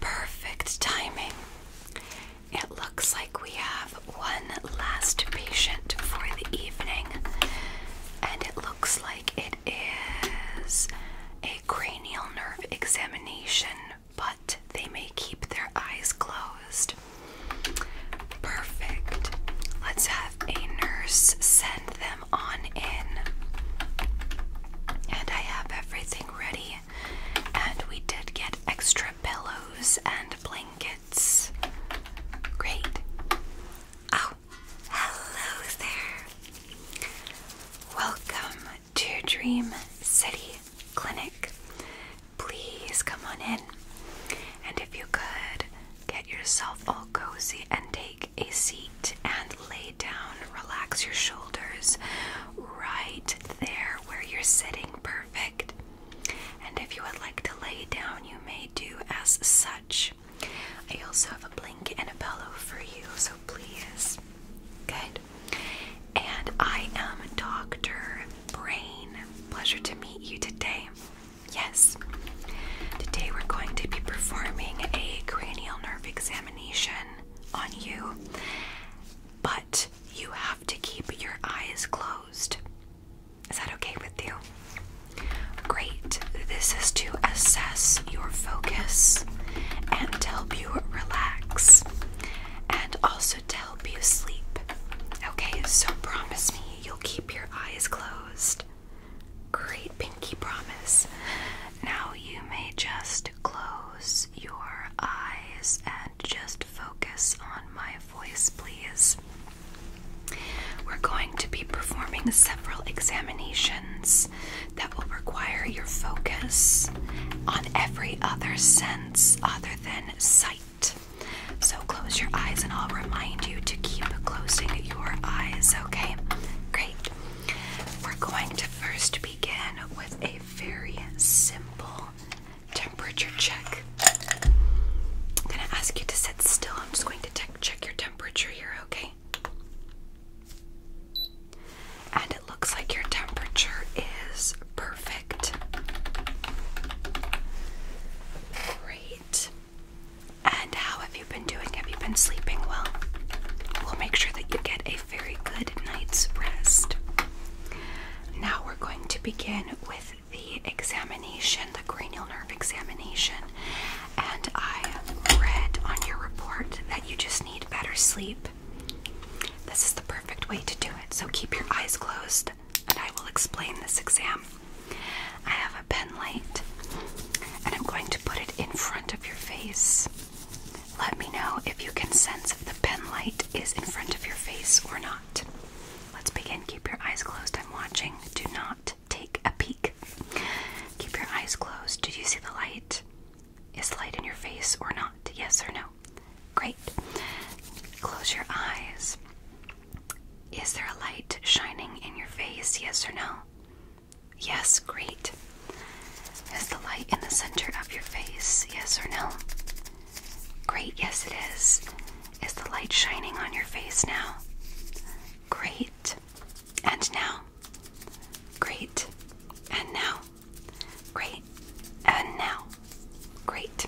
Perfect timing. It looks like we have one last patient for the evening, and it looks like it is a cranial nerve examination, but they may keep their eyes closed. Perfect. Let's have a nurse send them on in. And I have everything already, and we did get extra pillows and blankets. Great. Oh, hello there. Welcome to Dream City Clinic. Please come on in. And if you could, get yourself all cozy and take a seat and lay down. Relax your shoulders right there where you're sitting. Perfect. And if you would like to lay down, you may do as such. I also have a blanket and a pillow for you, so please. Good. And I am Dr. Brain. Pleasure to meet you today. Yes. Today we're going to be performing a cranial nerve examination on you, but you have to keep your eyes closed. Is that okay with you? Great. This is to assess your focus and help you relax and also to help you sleep. Okay, so promise me you'll keep your eyes closed. Great, Pinky, promise. Now you may just close your eyes and just focus on my voice, please. We're going to be performing several examinations that will require your focus on every other sense other than sight. So close your eyes, and I'll remind you to keep closing your eyes, okay? Great. We're going to first be begin with a very simple temperature check. I'm going to ask you to sit still. I'm just going to check your temperature You're okay? And it looks like your temperature is perfect. Great. And how have you been doing? Have you been sleeping well? We'll make sure that you get a very good night's rest. Now we're going to begin with the examination, the cranial nerve examination. And I read on your report that you just need better sleep. This is the perfect way to do it, so keep your eyes closed and I will explain this exam. I have a pen light and I'm going to put it in front of your face. Let me know if you can sense if the pen light is in front of your face or not. Let's begin. Keep your eyes closed. I'm watching. Do not take a peek. Keep your eyes closed. Did you see the light? Is light in your face or not? Yes or no? Great. Close your eyes. Is there a light shining in your face? Yes or no? Yes, great. Is the light in the center of your face? Yes or no? Great, yes it is. Is the light shining on your face now? Great. And now? Great. And now? Great. And now? Great.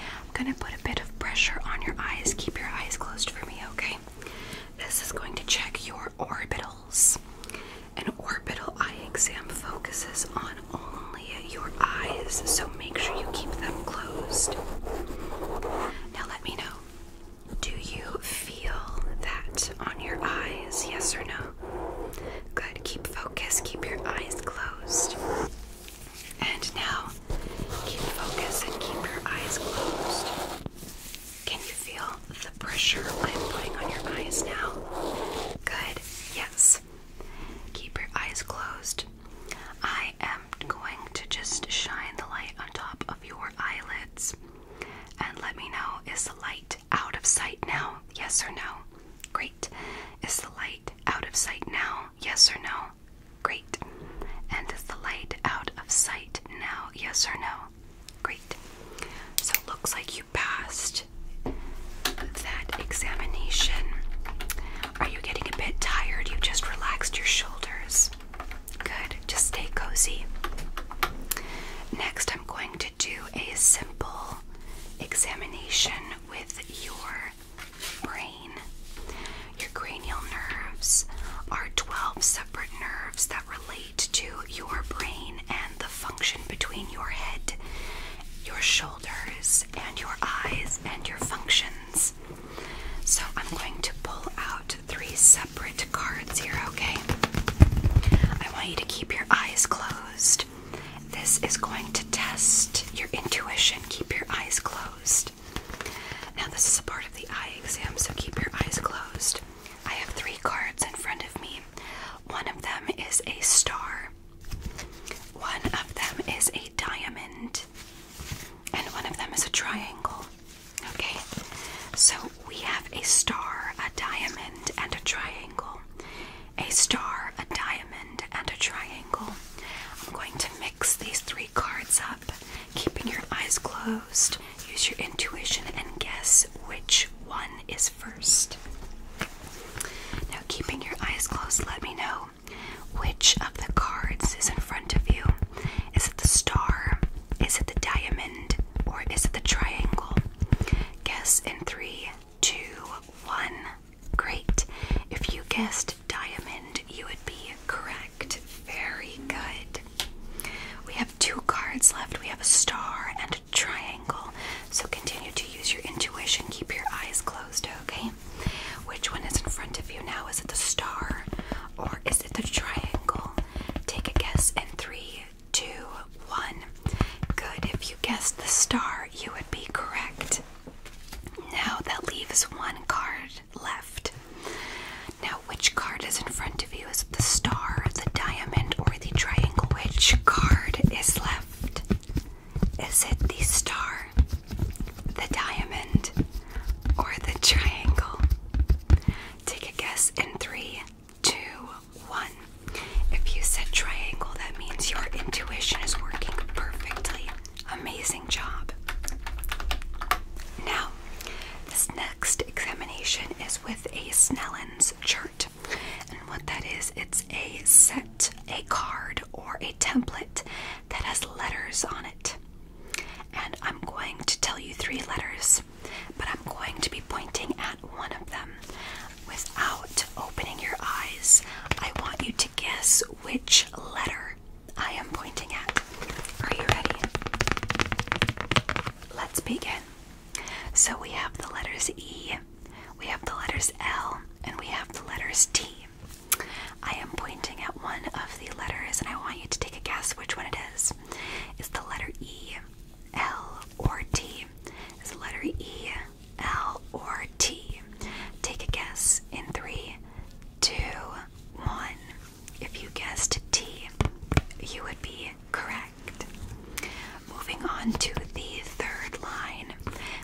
I'm going to put a bit of pressure on your eyes. Keep your eyes closed for me, okay? This is going to check your orbitals. An orbital eye exam focuses on only your eyes, so make sure you keep them closed. Now, let me know do you feel that on your eyes? Yes or no? Good, keep focus, keep your eyes closed. And now, keep focus and keep your eyes closed. Can you feel the pressure I'm putting on your eyes now? Good, yes. Keep your eyes closed. I am going to just shine the light on top of your eyelids and let me know is the light out of sight now? Yes or no? Great. Is the light out of sight now? Yes or no? Great. And is the light out of sight now? Yes or no? Great. So it looks like you passed that examination. Are you getting a bit tired? You just relaxed your shoulders. Good. Just stay cozy. Next, I'm going to do a simple examination with your brain. Your cranial nerves are 12 separate nerves that relate to your brain and the function between your head, your shoulders, and your eyes and your functions. So I'm going to pull out three separate cards here, okay? I want you to keep your eyes closed. This is going to test your intuition. Keep your eyes closed. Now, this is a part of the eye exam, so keep your eyes closed. I have three cards in front of me. One of them is a star, one of them is a diamond, and one of them is a triangle. Okay, so we have a star, a diamond, and a triangle. A star, a diamond, and a triangle. I'm going to mix these three cards up, keeping your eyes closed. Use your intuition and guess which one is first. Now, keeping your eyes closed, let me know which of the cards is in front of you. Is it the star? Is it the diamond? Or is it the triangle? Guess in three, two, one. Great. If you guessed diamond, you would be correct. Very good. We have two cards left. We have a star and triangle. So continue to use your intuition. Keep your eyes closed, okay? Which one is in front of you now? Is it the star or is it the triangle? Take a guess in three, two, one. Good. If you guessed the star, you would be correct. Now that leaves one card left. Now, which card is in front of you? Is it the star, the diamond, or the triangle? Which card is left? Is it the star, the diamond, or the triangle? Take a guess in three, two, one. If you said triangle, that means your intuition is working perfectly. Amazing job. Now, this next examination is with a Snellen's chart. And what that is, it's a set, a card, or a template that has letters on it. And I'm going to tell you three letters, but I'm going to be pointing at one of them without opening your eyes. I want you to guess which letter I am pointing at. Are you ready? Let's begin. So we have the letters E, we have the letters L, and we have the letters T. I am pointing at one of the letters and I want you to take a guess which one it is. Is the letter E, L, or T? Is the letter E, L, or T? Take a guess in three, two, one. If you guessed T, you would be correct. Moving on to the third line,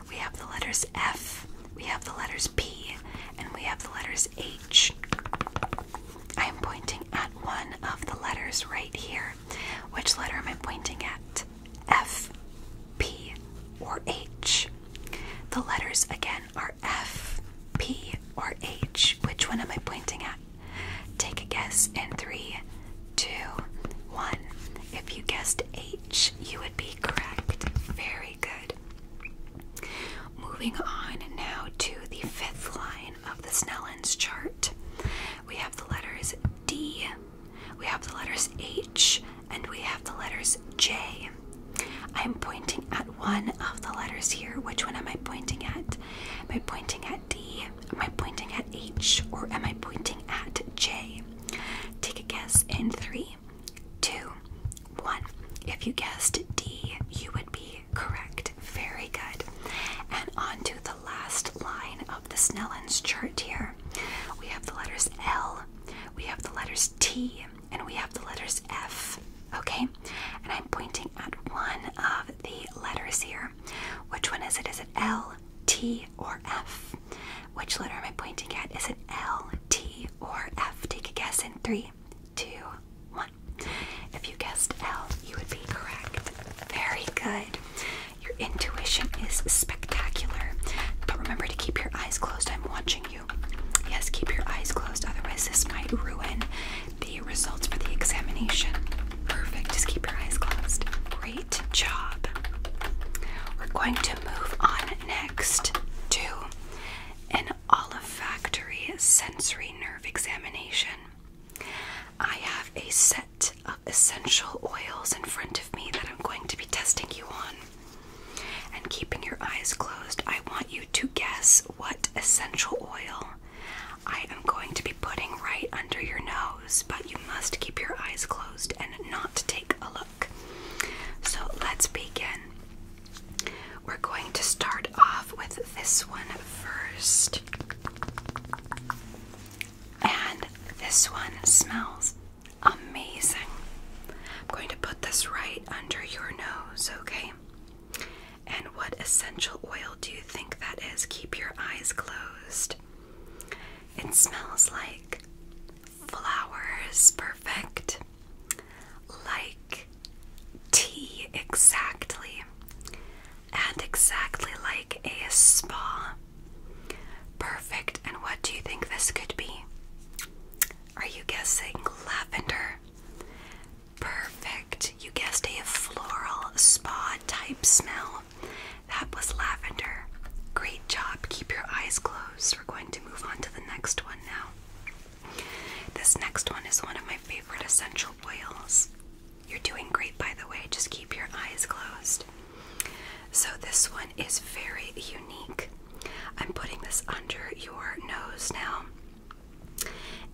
we have the letters F, we have the letters P, and we have the letters H. I am pointing at one of the letters right here. Which letter am I pointing at? F, P, or H? The letters again are F, P, or H. Which one am I pointing at? Take a guess in three, two, one. If you guessed H, you would be correct. Very good. Moving on now to the fifth line of the Snellen's chart. We have the letters D, we have the letters H, and we have the letters J. I'm pointing at one of the letters here. Which one am I pointing at? Am I pointing at D? Am I pointing at H or am I pointing at J? Take a guess in three, two, one. If you guessed D, you would be correct. Very good. And on to the last line of the Snellen's chart here. We have the letters L, we have the letters T, and we have the letters F. Okay? And I'm pointing at one of the letters here. Which one is it? Is it L, T, or F? Which letter am I pointing at? Is it L, T, or F? Take a guess in three, two, one. If you guessed L, you would be correct. Very good. Your intuition is spectacular. But remember to keep your eyes closed. I'm watching you. Yes, keep your eyes closed. Otherwise, this might ruin the results for the examination. Perfect. Just keep your eyes closed. Great job. We're going to move on next to an olfactory sensory nerve examination. I have a set of essential oils in front of me that I'm going to be testing you on. And keeping your eyes closed, I want you to guess what essential oil I am going to be putting right under your nose but you must keep your eyes closed and not take a look. So let's begin. We're going to start off with this one first. And this one smells amazing. I'm going to put this right under your nose, okay? And what essential oil do you think that is? Keep your eyes closed. It smells like flowers, perfect. Like tea, exactly. And exactly like a spa. Perfect. And what do you think this could be? Are you guessing lavender? Perfect. You guessed a floral spa type smell. That was lavender. Great job. Keep your eyes closed. We're going to move on to the next one now. This next one is one of my favorite essential oils. You're doing great, by the way. Just keep your eyes closed. So, this one is very unique. I'm putting this under your nose now.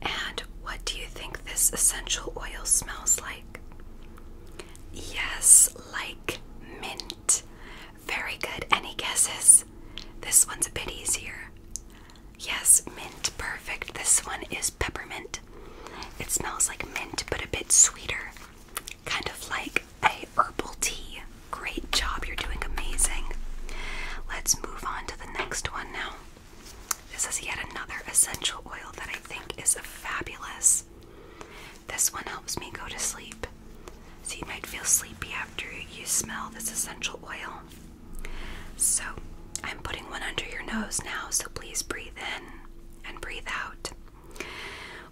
And what do you think this essential oil smells like? Yes, like mint. Very good. Any guesses? This one's a bit easier. Yes, mint. Perfect. This one is peppermint. It smells like mint, but a bit sweeter. Kind of like a herbal tea. Great job. You're doing amazing. Let's move on to the next one now. This is yet another essential oil that I think is fabulous. This one helps me go to sleep. So you might feel sleepy after you smell this essential oil. So I'm putting one under your nose now, so please breathe in and breathe out.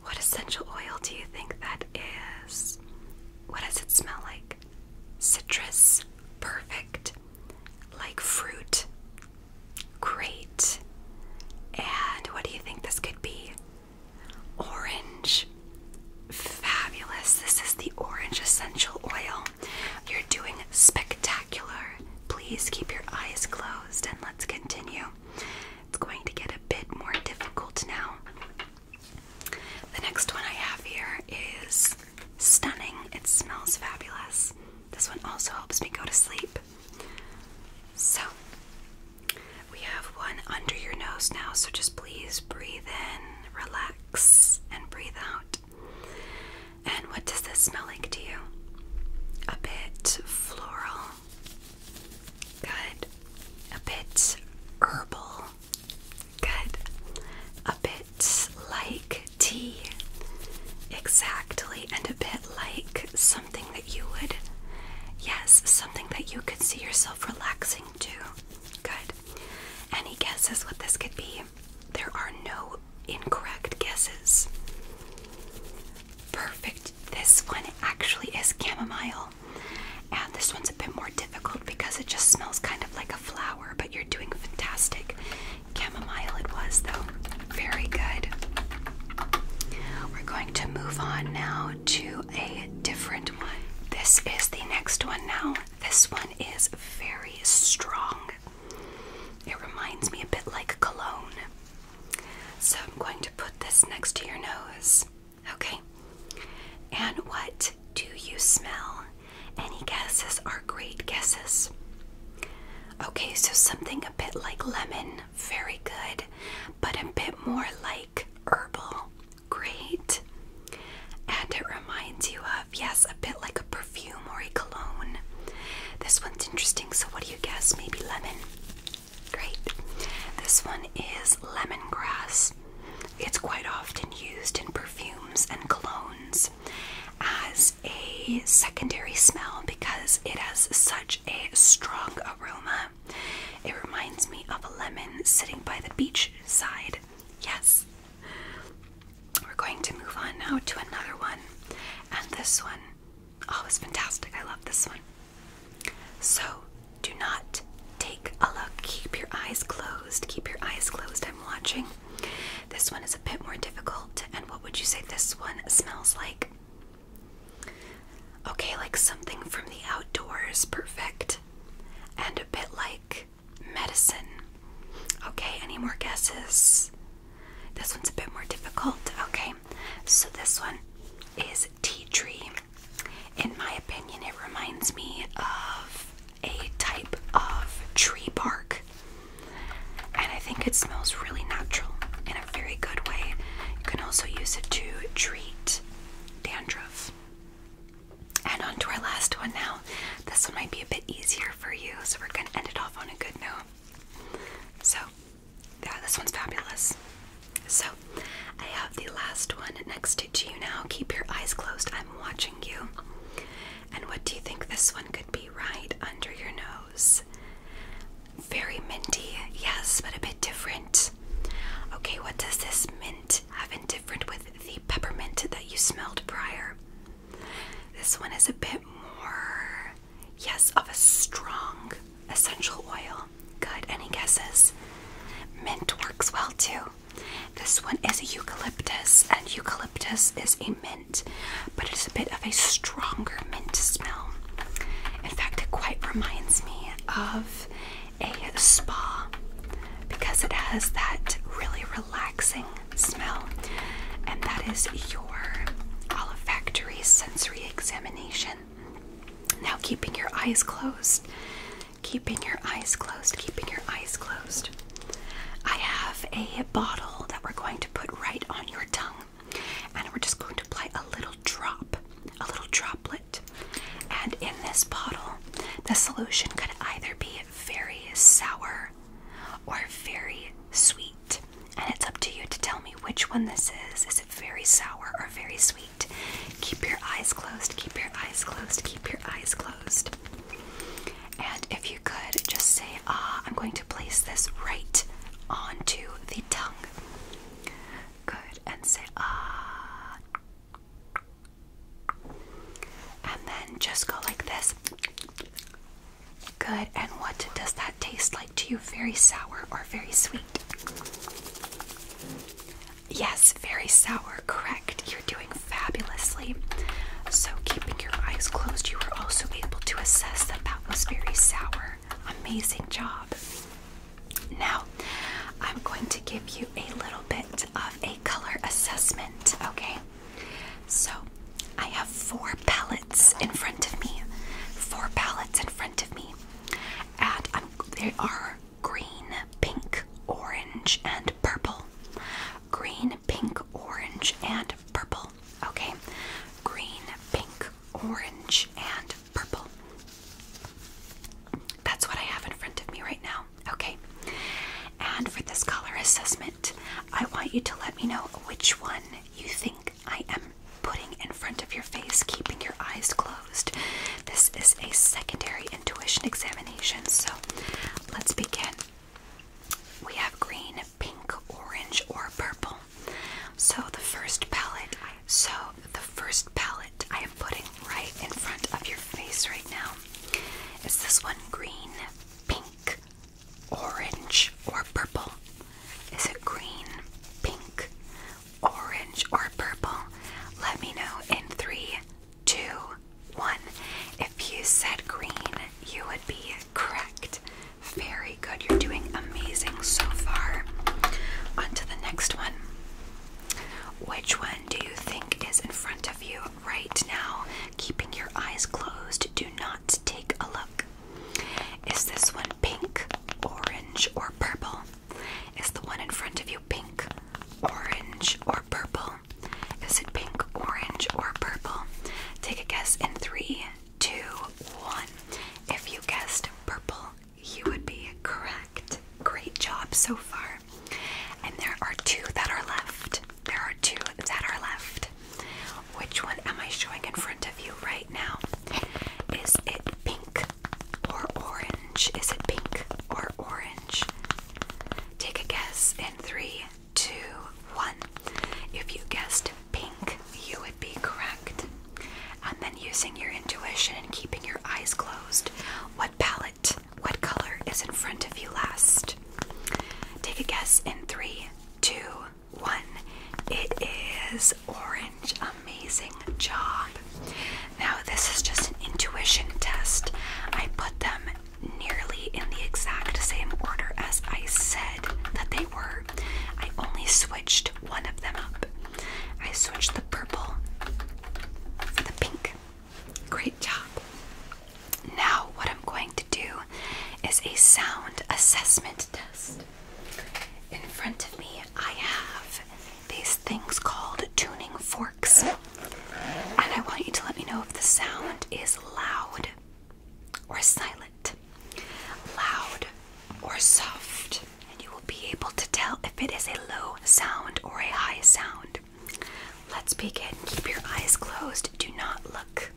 What essential oil do you think that is? What does it smell like? Citrus. Perfect. Like fruit. Great. And what do you think this could be? orange. Fabulous. This is the orange essential oil. You're doing spectacular. Please keep your eyes closed and let's continue. It's going to get a bit more difficult now. The next one I have here is stunning. It smells fabulous. This one also helps me go to sleep. So we have one under your nose now, so just please breathe in, relax, and breathe out. And what does this smell like to you? A bit floral. Good. A bit herbal. Good. A bit like tea. Exactly. And a bit like something that you would, yes, something that you could see yourself relaxing to? Good. Any guesses what this could be? There are no incorrect guesses. Perfect. This one actually is chamomile. And this one's a bit more difficult because it just smells kind of like a flower, but you're doing fantastic. Chamomile it was, though. Very good. We're going to move on now to a different one. This is the next one now. This one is very strong. It reminds me a bit like cologne. So I'm going to put this next to your nose. Okay. And what do you smell? Any guesses are great guesses. Okay, so something a bit like lemon very good, but a bit more like herbal. Great. And it reminds you of, yes, a bit like a perfume or a cologne. This one's interesting, so what do you guess? Maybe lemon. Great. This one is lemongrass. It's quite often used in perfumes and colognes as a secondary smell because it has such a strong aroma. It reminds me of a lemon sitting by the beach side. Yes. We're going to move on now to another one. And this one, oh, it's fantastic. I love this one. So, do not take a look. Keep your eyes closed. Keep your eyes closed. I'm watching. This one is a bit more difficult. And what would you say this one smells like? Okay, like something from the outdoors, perfect. And a bit like medicine. Okay, any more guesses? This one's a bit more difficult. Okay, so this one is tea tree. In my opinion, it reminds me of a type of tree bark. And I think it smells really natural in a very good way. You can also use it to treat dandruff. And on to our last one now. This one might be a bit easier for you, so we're gonna end it off on a good note. So, yeah, this one's fabulous. So, I have the last one next to you now. Keep your eyes closed, I'm watching you. And what do you think this one could be right under your nose? Very minty, yes, but a bit different. Okay, what does this mint have in different with the peppermint that you smelled prior? This one is a bit more, yes, of a strong essential oil. Good, any guesses? Mint works well too. This one is eucalyptus, and eucalyptus is a mint, but it's a bit of a stronger mint smell. In fact, it quite reminds me of a spa because it has that really relaxing smell, and that is your olfactory sensory examination. Now, keeping your eyes closed, keeping your eyes closed, keeping your eyes closed. I have a bottle that we're going to put right on your tongue, and we're just going to apply a little drop, a little droplet. And in this bottle, the solution could either be very sour or very sweet. And it's up to you to tell me which one this is. Is it very sour or very sweet? Keep your eyes closed, keep your eyes closed, keep your eyes closed. And if you could just say, ah, I'm going to place this right onto the tongue. Good. And say ah. And then just go like this. Good. And what does that taste like to you? Very sour or very sweet? Yes, very sour. Correct. You're doing fabulously. So, keeping your eyes closed, you were also able to assess that that was very sour. Amazing job. Now, I'm going to give you a little bit of a color assessment, okay? So, I have four palettes in front of me. Four palettes in front of me. And i they are green, pink, orange, and purple. Green, pink, orange, and purple. Okay? Green, pink, orange, and purple. That's what I have in front of me right now. Okay. And for this color assessment, I want you to let me know which one you think I am putting in front of your face, keeping your eyes closed. This is a secondary intuition examination, so let's begin. We have green, pink, orange, or purple. So the first palette so, the first palette I am putting right in front of your face right now is this one green, pink, orange, or purple. Is it green, pink, orange, or purple? Let me know in three, two, one. If you said green, you would be correct. Very good. You're doing amazing so far. On to the next one. Which one do you think is in front of you right now? Keeping your eyes closed, do not take a look. Is this one pink, orange, or purple? Is the one in front of you pink, orange, or purple? Is it pink, orange, or purple? Take a guess in three, two, one. If you guessed purple, you would be correct. Great job so far. And there are two that are left. There are two that are left. Which one am I showing in front of you right now? Is it pink or orange? Is it pink or orange? Take a guess in three, two, one. If you guessed pink, you would be correct. And then using your intuition and keeping your eyes closed, what palette, what color is in front of you last? Take a guess in three, two, one. It is orange. Amazing job. Now, this is just an intuition test. I put them nearly in the exact same order as I said that they were. I only switched one of them up. I switched the purple the pink. Great job. Now, what I'm going to do is a sound assessment test. In front of me, I have these things called tuning forks. And I want you to let me know if the sound is loud or silent, loud or soft and you will be able to tell if it is a low sound or a high sound. Let's begin. Keep your eyes closed, do not look.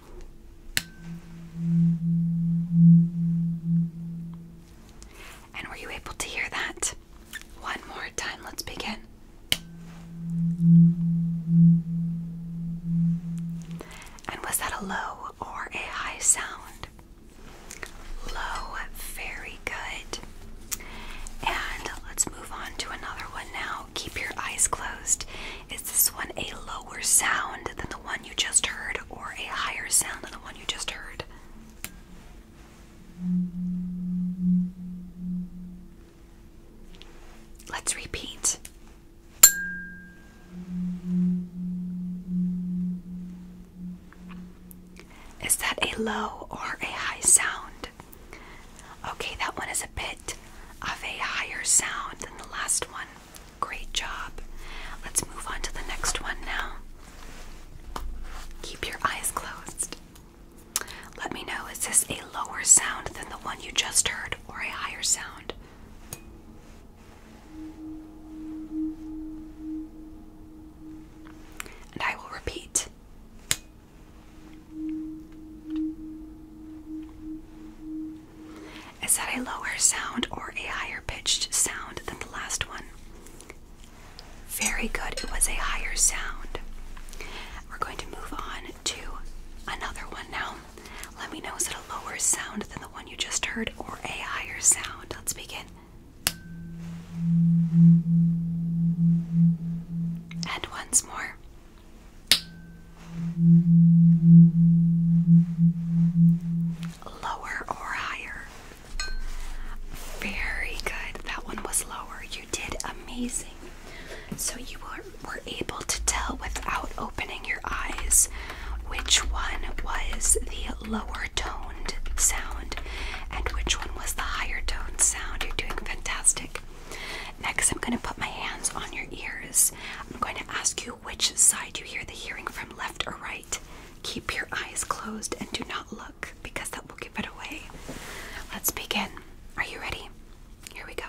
And were you able to hear that? One more time, let's begin. And was that a low or a high sound? low, very good. And let's move on to another one now. Keep your eyes closed. Is this one a lower sound than the one you just heard, or a higher sound than the one you just heard? Let's repeat. Is that a low or a high sound? Okay, that one is a bit of a higher sound than the last one. Great job. Let's move on to the next one now. Keep your eyes closed. Let me know, is this a lower sound than the one you just heard or a higher sound? And I will repeat is that a lower sound or a higher pitched sound than the last one? Very good, it was a higher sound. We're going to move on to another one now. Let me know is it a lower sound than the one you just heard or a higher sound? Let's begin. And once more. Lower or higher? Very good. That one was lower. You did amazing. So you were, were able to tell without opening your eyes which one was the lower tone sound and which one was the higher tone sound. You're doing fantastic. Next, I'm going to put my hands on your ears. I'm going to ask you which side you hear the hearing from, left or right. Keep your eyes closed and do not look because that will give it away. Let's begin. Are you ready? Here we go.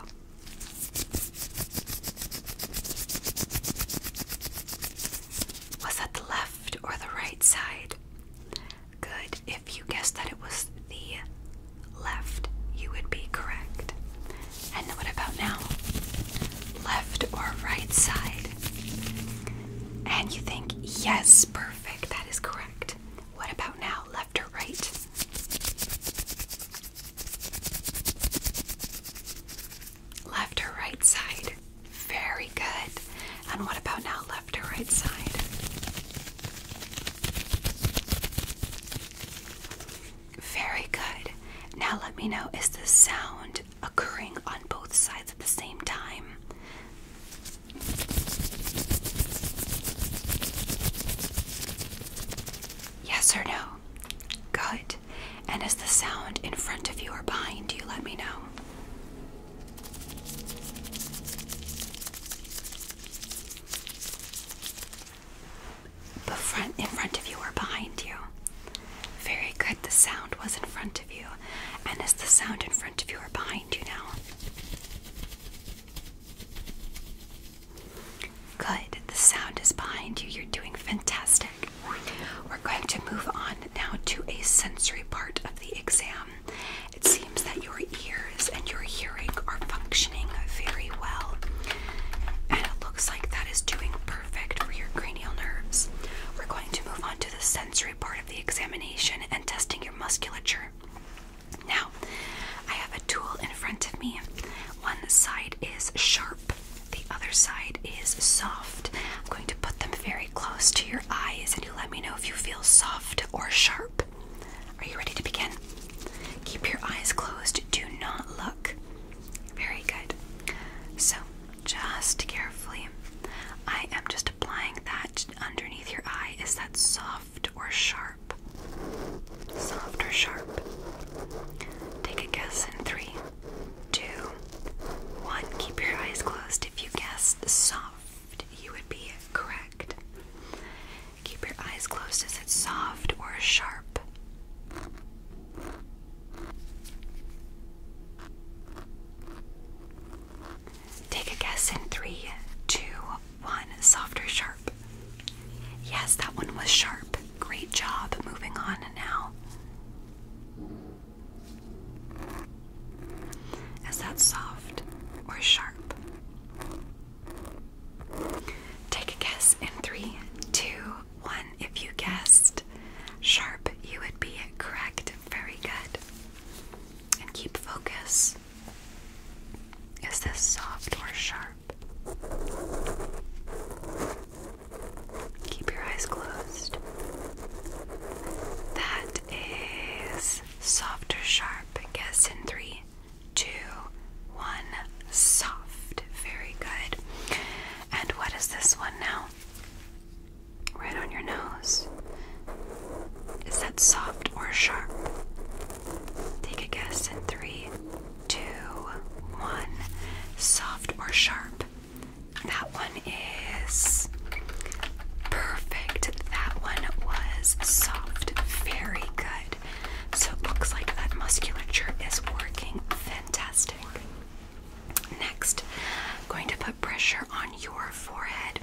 Was that the left or the right side? Good. If you guessed that it was the left, you would be correct. And what about now? Left or right side? And you think, yes, perfect, that is correct. What about now? Left or right? Left or right side? Very good. And what about now? left right side. Very good. Now let me know is the sound occurring on both sides at the same time? Yes or no? Good. And is the sound in front of you or behind you? Let me know. But front, in front of you or behind you? Very good. The sound was in front of you. And is the sound in front of you or behind you now? Good. The sound is behind you. You're doing fantastic. We're going to move on now to a sensory part of the exam. It seems that your ears and your hearing are functioning very well. And it looks like that is doing perfect for your cranial nerves. We're going to move on to the sensory part of the examination and testing your musculature. Now, I have a tool in front of me. One side is sharp, the other side is soft. I'm going to put them very close to your eyes and you let me know if you feel soft or sharp. Are you ready to begin? Keep your eyes closed. Do not look. Very good. So, just carefully, I am just applying that underneath your eye. Is that soft or sharp? Soft or sharp? Take a guess in three, two, one. Keep your eyes closed if you guess soft you would be correct. Keep your eyes closed. as it's soft or sharp? Take a guess in three, two, one. Softer, sharp? Yes, that one was sharp. Great job. Moving on now. Is that soft or sharp? Take a guess in three, two, one. If you guessed sharp, you would be correct. Very good. And keep focus. Is this soft or sharp? Keep your eyes closed. That is Guess. Soft or sharp? Guess in three, two, one. Soft. Very good. And what is this one now? Right on your nose. Is that soft or sharp? Take a guess in three, two, one. Soft or sharp? That one is Perfect. That one was soft. Very good. So it looks like that musculature is working fantastic. Next, I'm going to put pressure on your forehead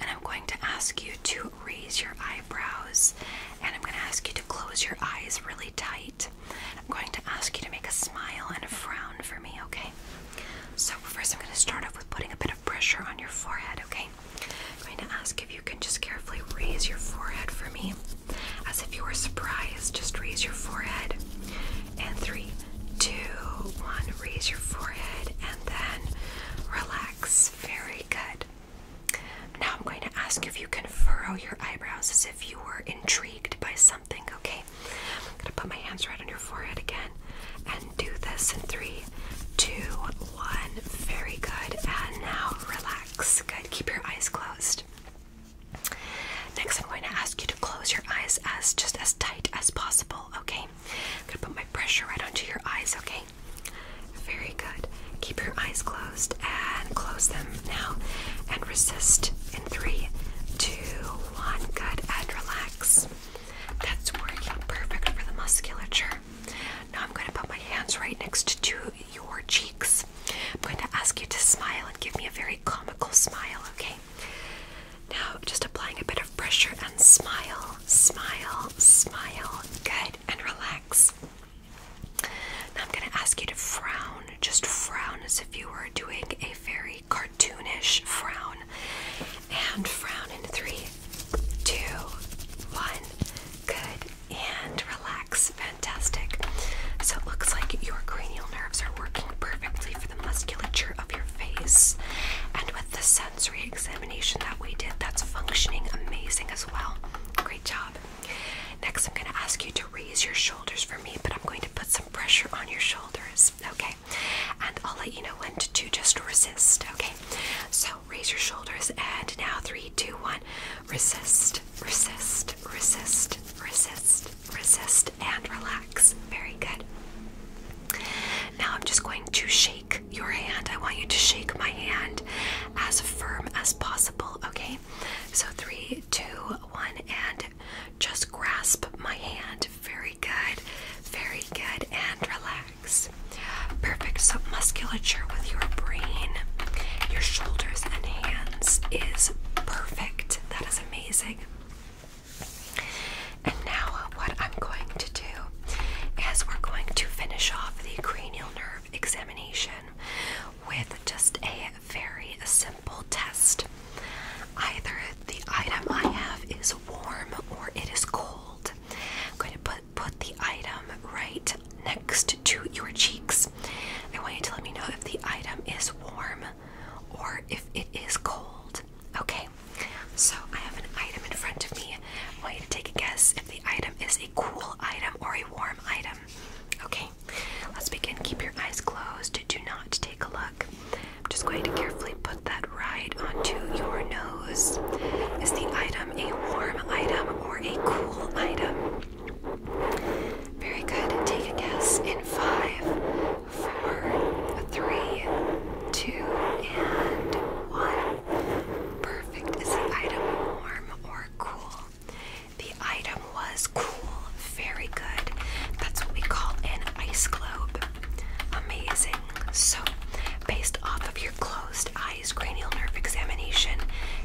and I'm going to ask you to raise your eyebrows and I'm going to ask you to close your eyes really tight. I'm going to ask you to make a smile and a frown for me, okay? So, first, I'm going to start off with putting a bit of pressure on your forehead, okay? I'm going to ask if you can just carefully raise your forehead for me. As if you were surprised, just raise your forehead. And three, two, one, raise your forehead and then relax. Very good. Now I'm going to ask if you can furrow your eyebrows as if you were intrigued by something, okay? I'm going to put my hands right on your forehead again do this in three, two, one. Very good. And now relax. Good. Keep your eyes closed. Next, I'm going to ask you to close your eyes as just as tight as possible. Okay. I'm gonna put my pressure right onto your eyes. Okay. Very good. Keep your eyes closed and close them now. And resist in three, two, one. Good. And relax. That's working perfect for the musculature. Now I'm going to put my hands right next to your cheeks. I'm going to ask you to smile and give me a very comical smile, okay? Now just applying a bit of pressure and smile, smile, smile. Good, and relax. Now I'm going to ask you to frown. Just frown as if you were doing a very cartoonish frown. And frown in three, two, one. Good. And relax. Fantastic. So it looks like your cranial nerves are working perfectly for the musculature of your face. And with the sensory examination that we did, that's functioning amazing as well. Great job. Next, I'm going to ask you to raise your shoulders for me, but I'm going to put some pressure on your shoulders. Okay. And I'll let you know when to, to just resist. Okay. So raise your shoulders and now three, two, one. Resist, resist, resist, resist, resist, and relax. Very good. Now I'm just going to shake your hand. I want you to shake my hand as firm as possible, okay? So three, two, one, and just grasp my hand. Very good, very good, and relax. Perfect. So, musculature with your brain, your shoulders, and hands is perfect. That is amazing. And now, what I'm going to do is we're going to finish off the cranial nerve examination with just a very simple test. Either the item I have is warm or it is cold. I'm going to put put the item right next to your cheeks. I want you to let me know if the item is warm or if it is cold. Okay, so I have an item in front of me. I want you to take a guess if the item is a cool item or a warm item. Okay, let's begin. Keep your eyes closed. Do not take a look. I'm just going to carefully put that right onto your nose. Is the item a warm item or a cool item? Very good. Take a guess in five, four, three, two, and one. Perfect. Is the item warm or cool? The item was cool. Very good. That's what we call an ice globe. Amazing. So, based off of your closed highest cranial nerve examination,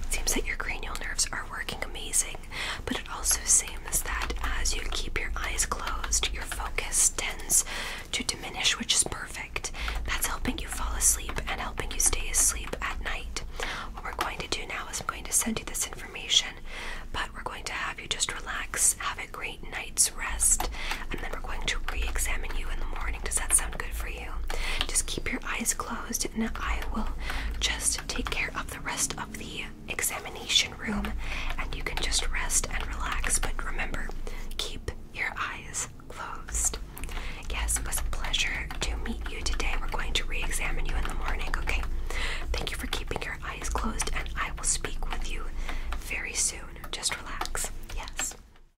it seems that your cranial nerves are working amazing, but it also seems that as you keep your eyes closed, your focus tends to diminish, which is perfect. That's helping you fall asleep and helping you stay asleep at night. What we're going to do now is I'm going to send you this information, but we're going to have you just relax, have a great night's rest, and then we're going to re examine you in the morning. Does that sound good for you? Just keep your eyes closed, and I will just take care of the rest of the examination room, and you can just rest and relax. But remember, keep your eyes closed. Yes, it was a pleasure to meet you today. We're going to re examine you in the morning, okay? Thank you for keeping your eyes closed, and I will speak with you very soon. Just relax. Yes.